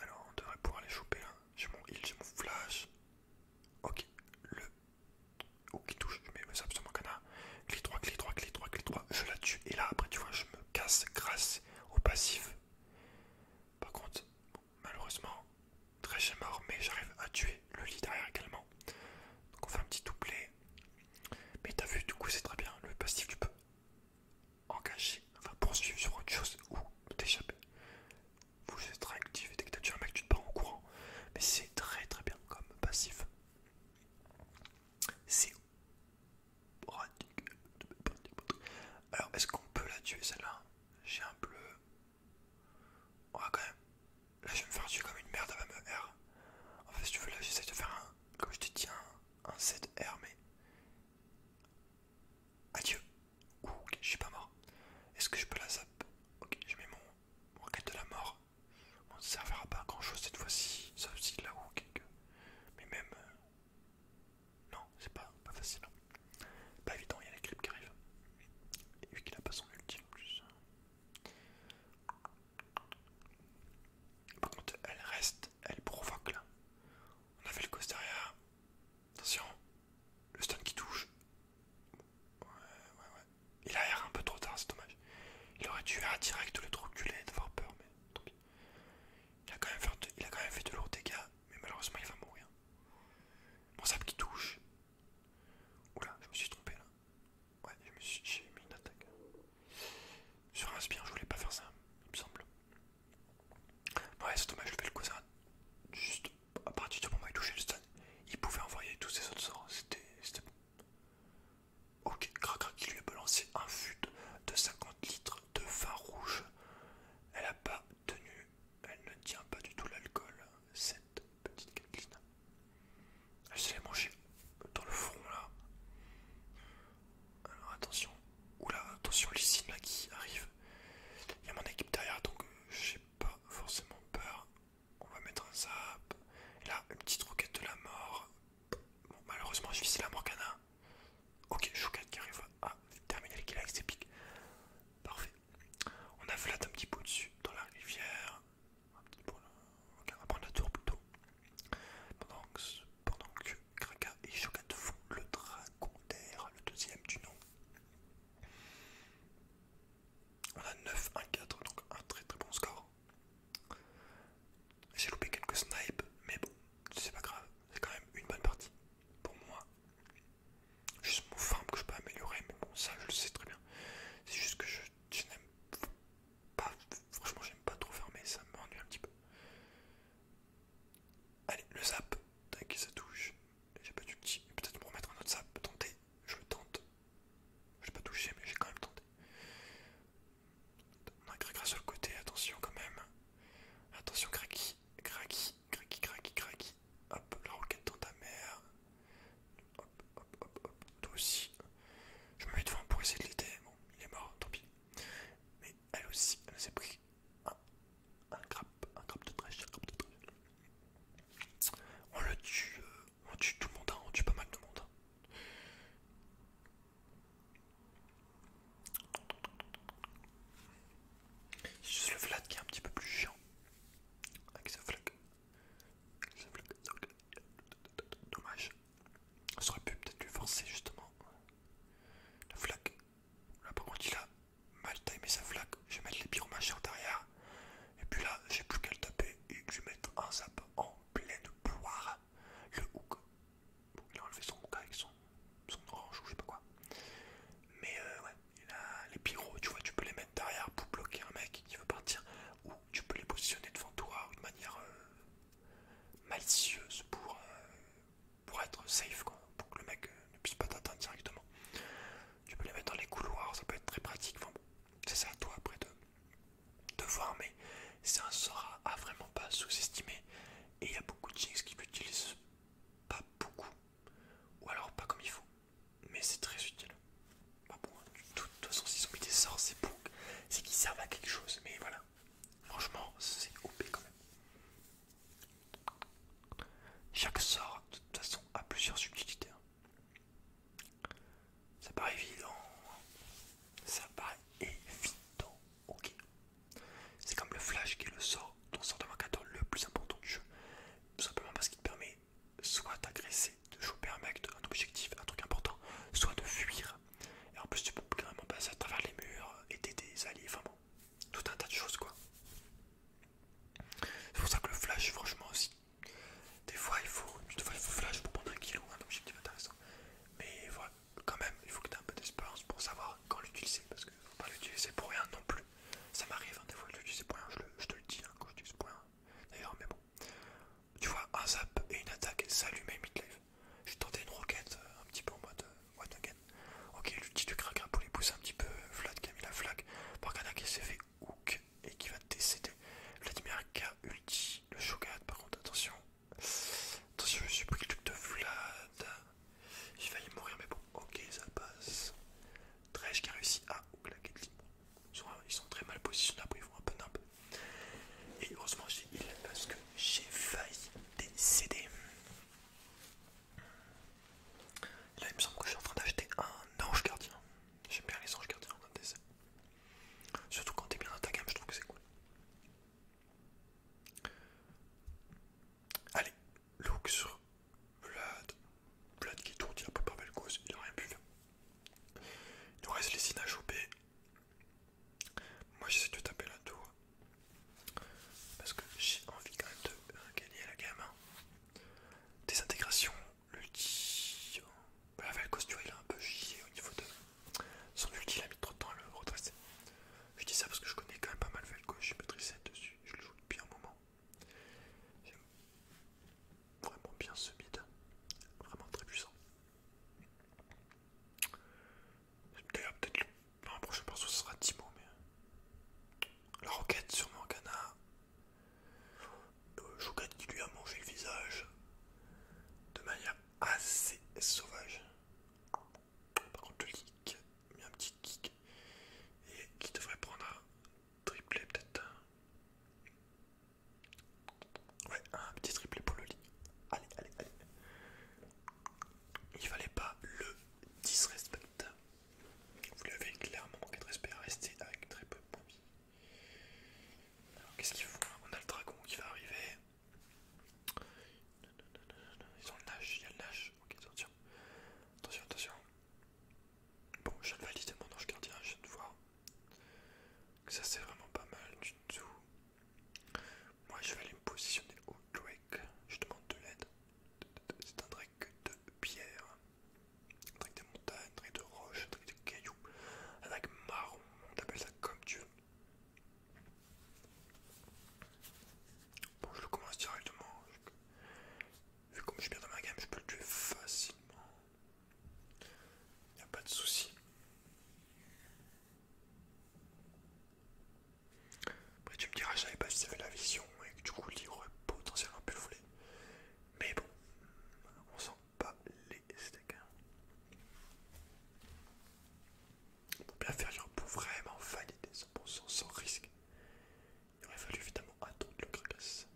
Alors on devrait pouvoir les choper là. Hein. J'ai mon heal, j'ai mon flash. Ok, le... Oh qui touche, mais ça absolument canard. Clique droit, clic droit, clic droit, clic droit. Je la tue. Et là après tu vois, je me casse grâce au passif. Par contre, malheureusement, très est mort, mais j'arrive à tuer le lit derrière également. Donc on fait un petit doublet. Mais t'as vu, du coup c'est très bien. Le passif, tu peux engagé, enfin poursuivre sur autre chose ou t'échapper. Vous êtes très actif dès que as tué un mec, tu te pars en courant. Mais c'est très très bien comme passif. C'est alors, est-ce qu'on peut la tuer celle-là J'ai un bleu. Ouais, quand même. Là, je vais me faire tuer comme une merde, à ma mère. En fait, si tu veux, là, j'essaie de faire un. Comme je te tiens un 7R, mais. Adieu. ok, je suis pas mort. Est-ce que je peux la zap Ok, je mets mon, mon de la mort. On ne servira pas à grand chose cette fois-ci, ça aussi là où Mais même. Euh, non, c'est pas, facile. Hein. Pas évident, il y a la grippe qui arrive. Et vu qu'il a pas son ultime en plus. Par contre, elle reste, elle provoque là. On a fait le derrière. Attention, le stun qui touche. Ouais, ouais, ouais. Il a R un peu trop tard, c'est dommage. Il aurait dû R direct le trop d'avoir peur, mais Il a, quand même fait il a quand même fait de lourds dégâts, mais malheureusement il va mourir. Mon sable qui touche. Oula, je me suis trompé là. Ouais, j'ai mis une attaque. Sur un je voulais pas faire ça, il me semble. Ouais, c'est dommage, je vais le cousin. Juste à partir du moment où il touchait le stun, il pouvait envoyer tous ses autres sorts. C'était bon. Ok, crac, qui lui a balancé un fut de 50 litres de vin rouge. Elle a pas tenu, elle ne tient pas du tout l'alcool, cette petite Kathleen. Elle se mangée dans le front là. Alors attention. Oula, attention signes là qui arrive. Il y a mon équipe derrière donc euh, j'ai pas forcément peur. On va mettre un zap. Et là, une petite roquette de la mort. Bon, malheureusement, je vis la Morgana. Ok, chouquette qui arrive ah, terminer les kill avec ses pics. Parfait. On a flat un petit peu au-dessus dans la rivière. Un petit peu là. Ok, on va prendre la tour plutôt. Pendant que, Kraka et Shogat font le d'air, le deuxième du nom. On a 9, 1, 4, donc un très très bon score. J'ai loupé quelques snipes, mais bon, c'est pas grave, c'est quand même une bonne partie pour moi. Juste mon farm que je peux améliorer, mais bon, ça je le sais très bien. C'est juste que je, je n'aime bah Franchement, j'aime pas trop fermer, ça m'ennuie un petit peu. Allez, le zap. t'inquiète ça touche. J'ai pas du petit. Peut-être pour mettre un autre zap. Tenter. Je le tente. Je vais pas touché, mais j'ai quand même tenté. On a sur le côté. Attention quand même. Attention, craqui, craqui, craqui, craqui, Graki. Hop, la roquette dans ta mère. Hop, hop, hop, hop. Toi aussi. Je me mets devant pour essayer de l'aider. Bon, il est mort, tant pis elle aussi, elle s'est pris un, crabe, un crabe de trèche, un de trèche. On le tue, euh, on tue tout le monde, hein, on tue pas mal de monde. Hein. C'est juste le flat qui est un petit peu plus chiant. Avec ce flag. Dommage. Ça aurait pu peut-être lui forcer justement la flaque. Là par contre il a mal timé sa flaque. Je vais mettre les pyromachères derrière. Et puis là, j'ai plus qu'à le taper et je vais mettre un zap en pleine poire. Le hook. il a enlevé son hook avec son, orange ou je sais pas quoi. Mais euh, ouais, les pyros, tu vois, tu peux les mettre derrière pour bloquer un mec qui veut partir. Ou tu peux les positionner devant toi de manière euh, malicieuse pour, euh, pour être safe, pour que le mec euh, ne puisse pas t'atteindre directement. Tu peux les mettre dans les couloirs, ça peut être très pratique. c'est à toi après de, voir, mais c'est un sort à, vraiment pas sous-estimer. Et il y a beaucoup de gens qui l'utilisent pas beaucoup, ou alors pas comme il faut, mais c'est très utile. Bah de toute façon, s'ils ont mis des sorts, c'est pour qu'ils servent à quelque chose, mais voilà. Franchement, c'est OP quand même. Chaque sort, de toute façon, a plusieurs subtilités. Hein. Ça paraît évident. Ça paraît évident. Ok. C'est comme le flash qui est le sort ton sort de marcateur le plus important du jeu. Tout simplement parce qu'il te permet soit d'agresser, de choper un mec, un objectif, un truc important, soit de fuir et en plus, tu peux vraiment passer à travers les murs, euh, aider des alliés, enfin bon, tout un tas de choses quoi. C'est pour ça que le flash, franchement aussi, des fois il faut, flash pour prendre un kilo, un objectif intéressant. Mais voilà, quand même, il faut que tu aies un peu d'expérience pour savoir quand l'utiliser, parce que faut pas l'utiliser pour rien non plus. Ça m'arrive, hein, des fois je l'utilise pour rien, je, te le dis hein, quand je l'utilise pour rien. D'ailleurs, mais bon, tu vois, un zap et une attaque, ça allume et mid j'ai tenté une roquette euh, un petit peu en mode one again. Ok, l'ulti du Kraka pour les pousser un petit peu. Vlad euh, qui a mis la flag. contre qui s'est fait hook et qui va décéder. Vladimir K ulti. Le Shogat, par contre, attention. Attention, je suis pris le truc de Vlad. J'ai failli mourir, mais bon, ok, ça passe. Dredge qui a réussi à la de l'île. Ils sont très mal positionnés, après ils font un peu n'importe Et heureusement, j'ai heal parce que j'ai failli CD Là, il me semble que je suis en train d'acheter un ange gardien. J'aime bien les anges gardiens en décès. Surtout quand t'es bien dans ta gamme, je trouve que c'est cool. Allez, look sur Vlad. Vlad qui tourne, il a pas pas de cause, il a rien pu faire. Il nous reste les signes à choper, moi j'essaie de taper la tour. Parce que j'ai envie quand même de gagner la gamme. Hein. Désintégration, Des intégrations, l'ulti. tu vois il a un peu chier au niveau de son ulti, il a mis trop de temps à le retracer. Je dis ça parce que je connais quand même pas mal Valco, je suis maîtrisé dessus, je le joue depuis un moment. J'aime vraiment bien ce mid, vraiment très puissant peut-être un prochain perso, sera Timo, mais. Euh, la roquette sur Morgana. Le euh, Choukade qui lui a mangé le visage. De manière assez sauvage. Par contre, le a mis un petit kick. Et qui devrait prendre un triplé, peut-être. Ouais, un petit triplé pour le lit. Allez, allez, allez il fallait pas le disrespect. Vous lui avez clairement manqué respect à rester avec très peu de points Alors qu'est-ce qu'ils font On a le dragon qui va arriver. Ils ont le nage, il y a le nage. Ok, attention. Attention, attention. Bon, je valide de mon ange gardien, je viens de voir. Ça c'est vraiment pas mal du tout. Moi je vais aller me positionner au Drake, je demande de l'aide. C'est un Drake de pierre, un Drake de montagne, un Drake de roche, un Drake de cailloux, un Drake marron, on t'appelle ça comme tu veux. Bon, je le commence directement. Vu comme je suis bien dans ma gamme, je peux le tuer facilement. Il n'y a pas de souci. Après tu me diras, j'avais savais pas si avait la vision et que du coup livre aurait potentiellement pu le Mais bon, on sent pas les steaks. faut hein. bien faire pour vraiment valider 100% sans risque, il aurait fallu évidemment attendre le Kragas.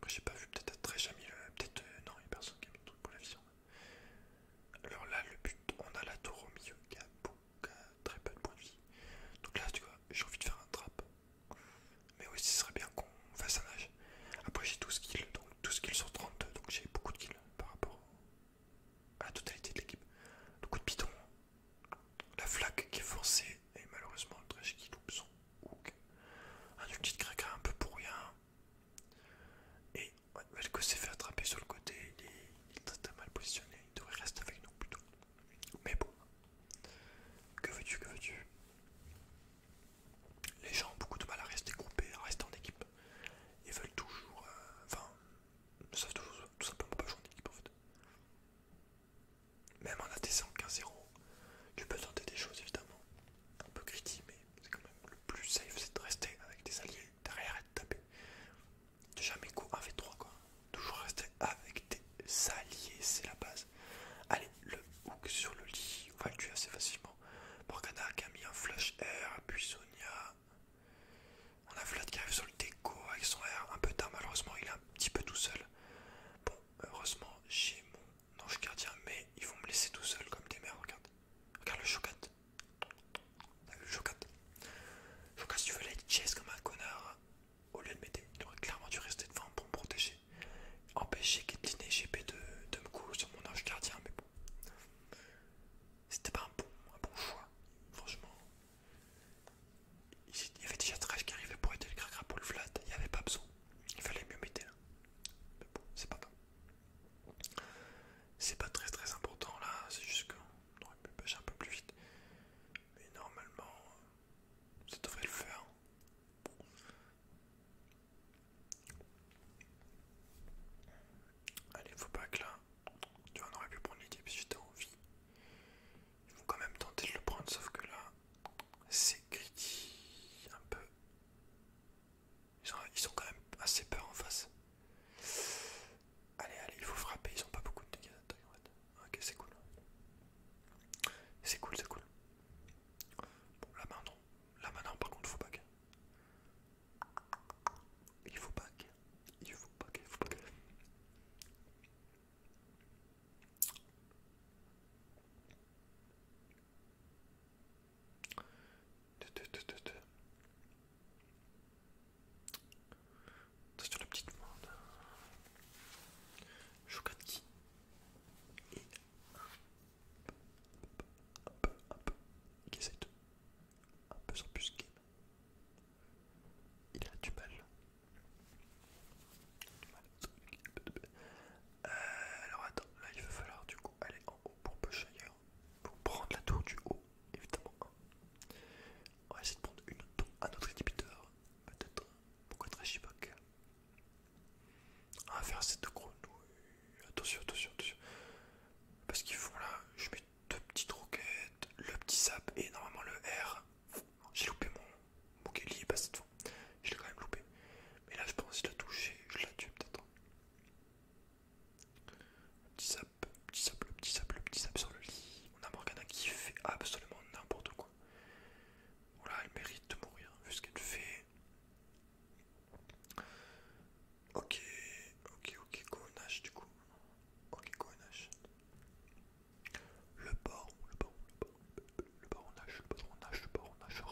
Moi j'ai pas vu, peut-être très jamais, euh, peut-être euh, non, il y a personne qui a mis le truc pour la vision. Hein. Alors là, le but, on a la tour au milieu qui a, beaucoup, très peu de points de vie. Donc là, tu vois, j'ai envie de faire un trap. Mais oui, ce serait bien qu'on fasse un nage. Après, j'ai 12 kills, donc 12 kills sur 32, donc j'ai beaucoup de kills par rapport à la totalité de l'équipe. Le coup de piton, la flaque qui est forcée, et malheureusement, le trash qui loupe son hook. Un ulti de un peu pour rien. Et ouais, que s'est fait attraper sur le côté, il est, mal positionné, il devrait rester avec nous plutôt. Mais bon, que veux-tu, que veux-tu Les gens ont beaucoup de mal à rester groupés, à rester en équipe. Ils veulent toujours, euh, enfin, ils savent toujours tout simplement pas jouer en équipe en fait. Même en at qu'un 15-0, tu peux tenter des choses évidemment, un peu critiques, mais c'est quand même le plus safe, c'est de rester avec des alliés derrière de tapé. Jamais go 1v3 quoi. Toujours rester avec tes alliés, c'est la base. Allez, le hook sur le lit, on va le tuer assez facilement. Morgana qui a mis un flash air, puis Sonia. On a Vlad qui arrive sur le déco avec son air un peu tard, malheureusement il est un petit peu tout seul. Bon, heureusement j'ai mon ange gardien, mais ils vont me laisser tout seul comme des mères, regarde. Regarde le chocat. Choquante. Faut que si tu veux être chase comme un connard, au lieu de m'aider, il aurait clairement dû rester devant pour me protéger. Empêcher que et GP de, me couler sur mon ange gardien, mais bon. C'était pas un bon, bon choix, franchement. Il y avait déjà Trash qui arrivait pour aider le cracra pour le flat, il n'y avait pas besoin. Il fallait mieux m'aider hein. Mais bon, c'est pas grave. C'est pas très très important là, c'est juste qu'on aurait pu pêcher un peu plus vite. Mais normalement, ça devrait le faire. Allez, faut pas que là, tu vois, on aurait pu prendre l'idée si j'étais as envie. Il faut quand même tenter de le prendre, sauf que là, c'est critique un peu. Ils sont, quand même assez peur en face. Allez, allez, il faut frapper, ils ont pas beaucoup de dégâts en fait. Ok, c'est cool. C'est cool, c'est cool. Bon, là maintenant, main non, par contre, faut back. Il faut back. Il faut back, il faut back. Attention la petite monde. Shokanki. Et hop, hop, qui essaie de un peu s'embusquer. Il a du mal. Du mal. Euh, alors attends, là il va falloir du coup aller en haut pour pêcher ailleurs. Pour prendre la tour du haut, évidemment. On va essayer de prendre une tour un autre inhibiteur. Peut-être. Pourquoi très chivoc On va faire cette grenouille. Attention, attention, attention. Parce qu'il faut, là, je mets deux petites roquettes, le petit sap et normalement le R. J'ai loupé mon. Mon pas cette fois. Je l'ai quand même loupé. Mais là, je pense qu'il a touché. Je la tue peut-être. Petit sap, petit sap, petit petit sur le lit. On a Morgana qui fait absolument n'importe quoi. Voilà, elle mérite de mourir vu ce qu'elle fait. Ok, ok, ok, nage du coup. Ok, nage. Le baron, le baron, le baron, le nage, le baronage, le baronage.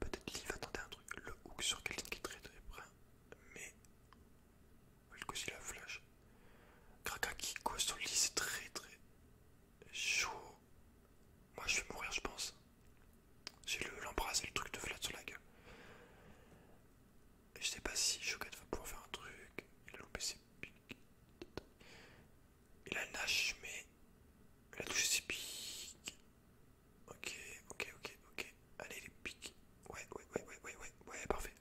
Peut-être qu'il va tenter un truc. Le hook sur quelqu'un qui est très très près mais le coup la flash. le lit c'est très très chaud. Moi je vais mourir je pense. J'ai l'embrasse le, et le truc de flat sur la gueule. je sais pas si Shogat va pouvoir faire un truc. Il a loupé ses piques, Il a nage mais il a touché ses Ok, ok, ok, ok. Allez, les pics. Ouais, ouais, ouais, ouais, ouais, ouais, ouais, parfait.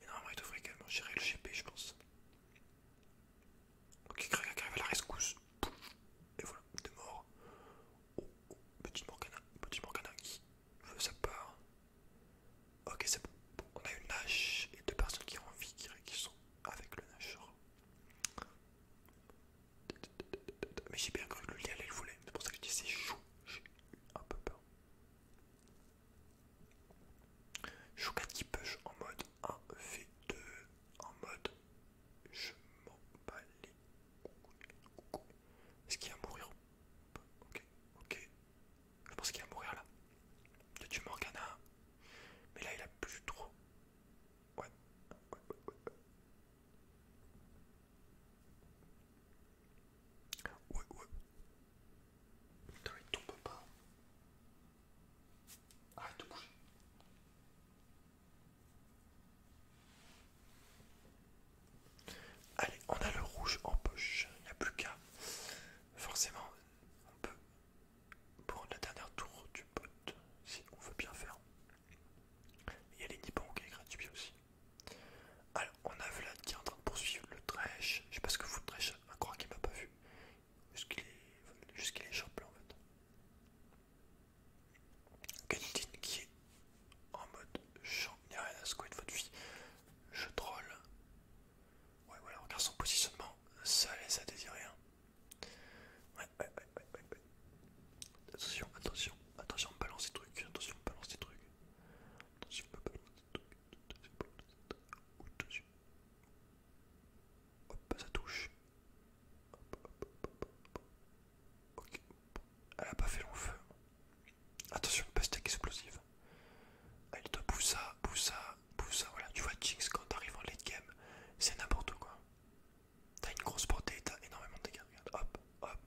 Et normalement, il devrait également gérer le GP, je pense. Ok, regarde, arrive à la rescousse. Et voilà, deux morts, Oh, oh, petit Morgana, petit Morgana qui veut sa part. Ok, c'est bon. On a une lâche et deux personnes qui ont envie, qui, sont avec le lâche mais j'ai bien cru que le lial, il le voler, c'est pour ça que je dis c'est chou. J'ai eu un peu peur. Choucat qui push en mode 1v2, en mode je m'en bats les couilles. Est-ce qu'il y a à mourir Ok, ok. Je pense qu'il y a à mourir là. Il y a Mais là il a plus trop. Ouais, ouais, ouais, ouais. Ouais, ouais. tombe pas. Arrête de bouger. Allez, on a le rouge en poche. Il n'y a plus qu'à. Forcément, on peut prendre la dernière tour du pote, si on veut bien faire. Il y a les Nippons qui est gratuit aussi. Alors, on a Vlad qui est en train de poursuivre le Dresh. Je sais pas ce que vous le Dresh, je crois qu'il m'a pas vu. Jusqu'il est, champion en fait. Gagnitine qui est en mode n'y a rien à secouer de votre vie, je troll. Ouais, voilà, regarde son positionnement, ça laisse à désirer. Hein. Ouais, ouais, ouais, ouais, ouais. Attention, attention, attention, on balance des trucs, attention, balance des trucs. Attention, on balance des trucs, trucs. Attention. Hop, ça touche. Ok. Elle a pas fait long feu. Attention, stack explosif. Elle te pousse ça, pousse ça, pousse ça. Voilà, tu vois, Jinx, quand t'arrives en late game, c'est n'importe quoi. T'as une grosse portée, t'as énormément de dégâts. Regarde, hop, hop.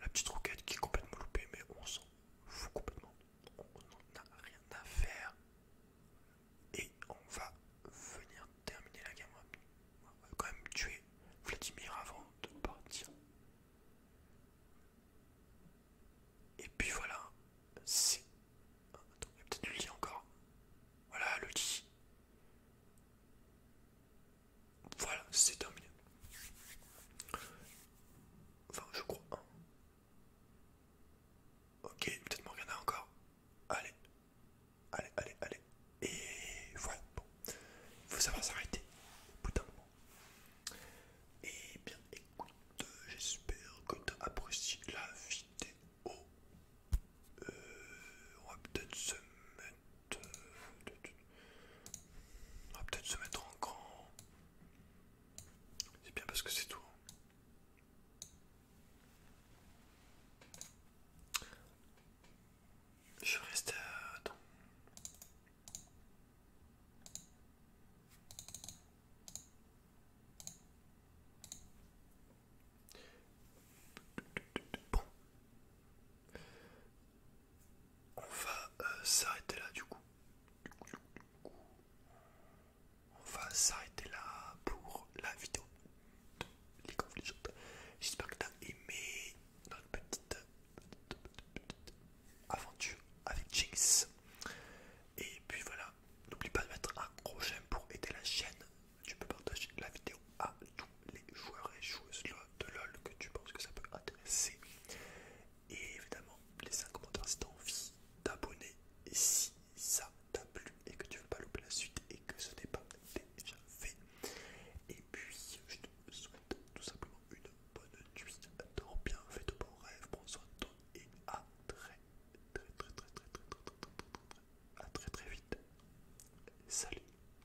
La petite roquette qui est complètement loupée, mais on s'en fout complètement. On n'en a rien à faire. Et on va venir terminer la gamme. On va quand même tuer Vladimir avant de partir. Et puis voilà, c'est. Attends, il y a peut-être lit encore. Voilà, le lit. Voilà, c'est terminé. Enfin, je crois. Ok, peut-être regarder encore. Allez, allez, allez, allez. Et voilà, bon. Il faut savoir s'arrêter au bout d'un moment. Et eh bien, écoute, j'espère que tu as apprécié la vidéo. Euh, on va peut-être se on va peut-être se mettre en grand. C'est bien parce que c'est tout. Je reste on va euh, s'arrêter là du coup. On va s'arrêter là pour la vidéo de League J'espère que tu as aimé notre petite, aventure avec Jinx. Et puis voilà, n'oublie pas de mettre un gros j'aime pour aider la chaîne. Tu peux partager la vidéo à tous les joueurs et joueuses de LOL que tu penses que ça peut intéresser. Et évidemment, laisse un commentaire si t'as envie d'abonner. Et si ça t'a plu et que tu veux pas louper la suite et que ce n'est pas déjà fait. Et puis, je te souhaite tout simplement une bonne nuit. Dors bien, fais de bons rêves, prends soin et à très très très très très très